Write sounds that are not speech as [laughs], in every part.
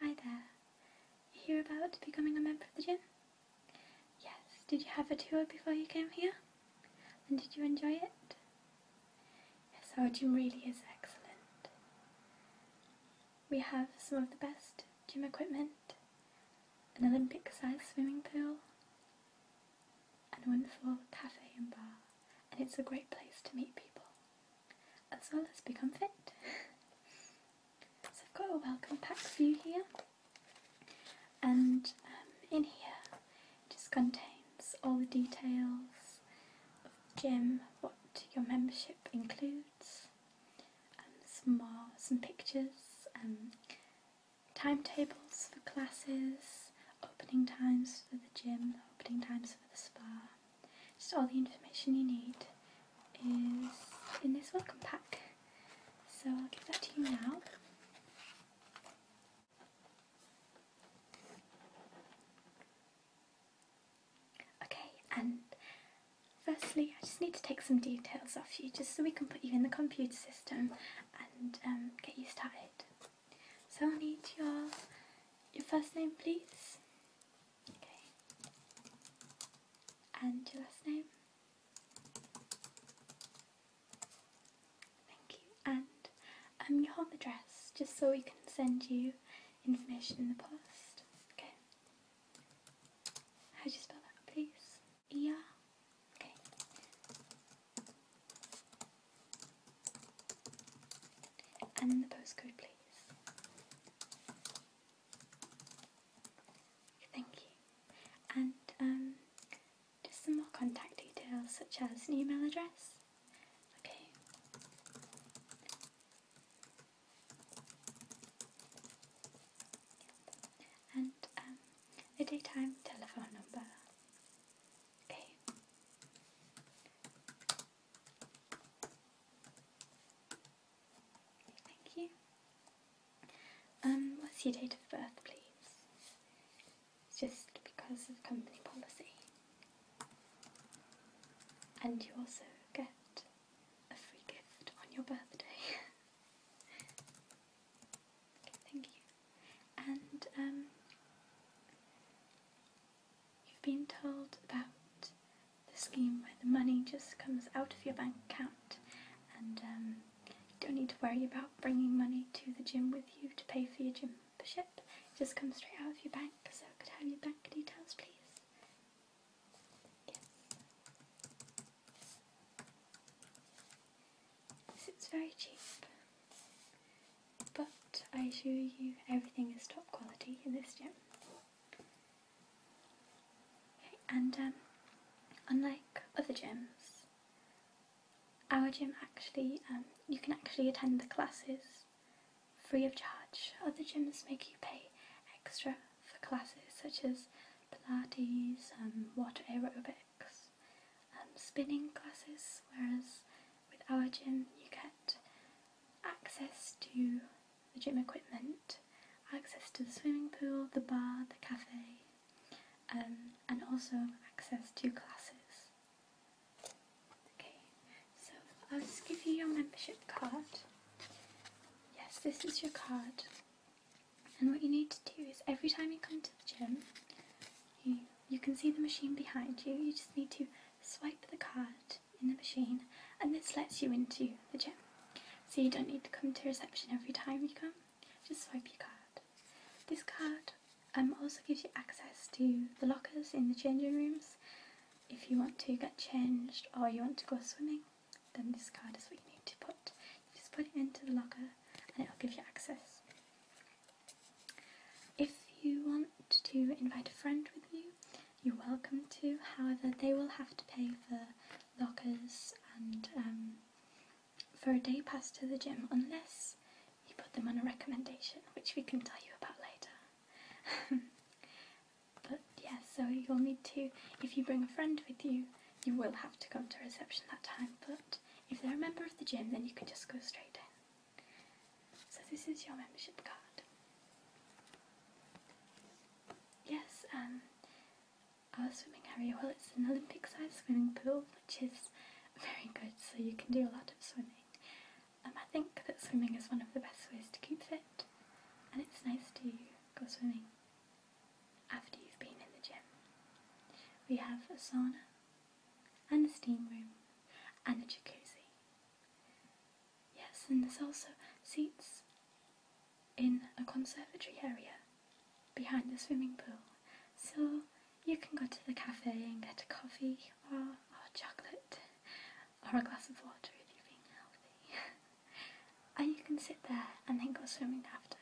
Hi there. You hear about becoming a member of the gym? Yes. Did you have a tour before you came here? And did you enjoy it? Yes, our gym really is excellent. We have some of the best gym equipment, an Olympic sized swimming pool, and a wonderful cafe and bar, and it's a great place to meet people as well as become fit. so I've got a welcome pack for you here, and um, in here it just contains all the details of gym, what your membership includes, um, some more, some pictures, um, timetables for classes, opening times for the gym, opening times for the spa. So all the information you need is in this welcome pack. So I'll give that to you now. Okay, and firstly I just need to take some details off you just so we can put you in the computer system and um, get you started. So I need your your first name, please. Okay. And your last name. Thank you. And um, your home address, just so we can send you information in the post. Okay. How do you spell that, please? Yeah. Okay and the postcode, please. Thank you. And um, just some more contact details, such as an email address. Okay. And a um, daytime telephone number. A. Thank you. Um, what's your date of birth, please? It's just because of company policy. And you also get a free gift on your birthday. [laughs] thank you and um, you've been told about the scheme where the money just comes out of your bank account and um, you don't need to worry about bringing money to the gym with you to pay for your gym membership. It just comes straight out of your bank, so could I have your bank details please? Yes. It's very cheap, but I assure you everything is top quality in this gym. and um, unlike other gyms, our gym actually, um, you can actually attend the classes free of charge. Other gyms make you pay extra for classes such as Pilates, um, water aerobics um, spinning classes, whereas with our gym you get access to the gym equipment, access to the swimming pool, the bar, the cafe, um, and also access to classes. Okay, so I'll just give you your membership card. Yes, this is your card. And what you need to do is every time you come to the gym, you, you can see the machine behind you. You just need to swipe the card in the machine and this lets you into the gym. So you don't need to come to reception every time you come, just swipe your card. This card um, also gives you access to the lockers in the changing rooms if you want to get changed or you want to go swimming. Then this card is what you need to put. just put it into the locker and it'll give you access. If you want to invite a friend with you, you're welcome to. However, they will have to pay for lockers and um, for a day pass to the gym, unless you put them on a recommendation, which we can tell you about later. [laughs] But yes, yeah, so you'll need to, if you bring a friend with you, you will have to come to reception that time. But if they're a member of the gym, then you can just go straight in. So this is your membership card. Yes, um, our swimming area, well, it's an Olympic-sized swimming pool, which is very good, so you can do a lot of swimming. Um, I think that swimming is one of the best ways to keep fit, and it's nice to go swimming after you've been in the gym. We have a sauna, and a steam room, and a jacuzzi. Yes, and there's also seats in a conservatory area behind the swimming pool, so you can go to the cafe and get a coffee or, or chocolate. [laughs] or a glass of water if you're being healthy. and [laughs] you can sit there and then go swimming after.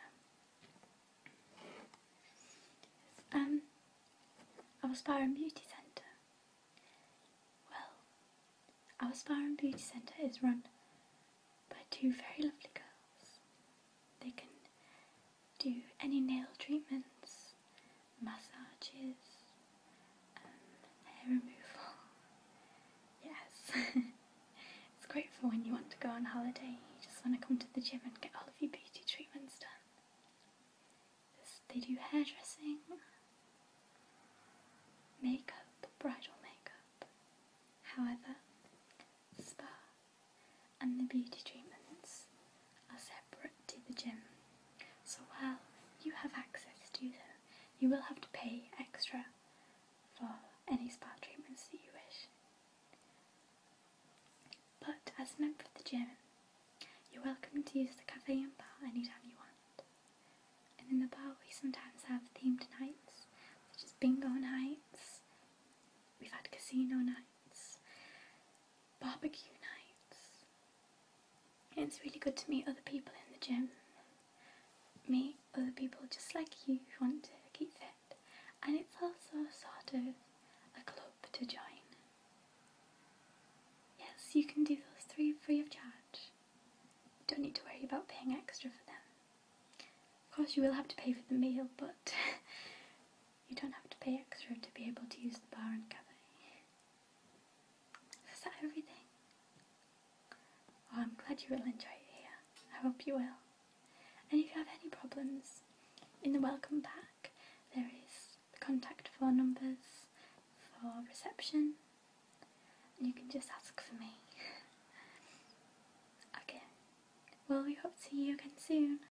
Um, our spa and beauty centre. Well, our spa and beauty centre is run by two very lovely girls. They can do any nail treatments, massages, um, hair removal. [laughs] Yes, [laughs] it's great for when you want to go on holiday. You just want to come to the gym and get all of your beauty treatments done. they do hairdressing, makeup, bridal makeup. However, spa and the beauty treatments are separate to the gym. So while you have access to them, you will have to pay extra for any spa treatments that you wish. But as a member of the gym, you're welcome to use the cafe and bar anytime you want. And in the bar, we sometimes have themed nights, such as bingo nights, we've had casino nights, barbecue nights, it's really good to meet other people in the gym, meet other people just like you want to keep fit, and it's also sort of a club to join. Yes, you can do those three free of charge. Don't need to worry about paying extra for them. Of course, you will have to pay for the meal, but [laughs] You don't have to pay extra to be able to use the bar and cafe. Is that everything? I'm glad you will enjoy it here. I hope you will. And if you have any problems, in the welcome pack there is the contact phone numbers for reception, and you can just ask for me. [laughs] okay, well, we hope to see you again soon.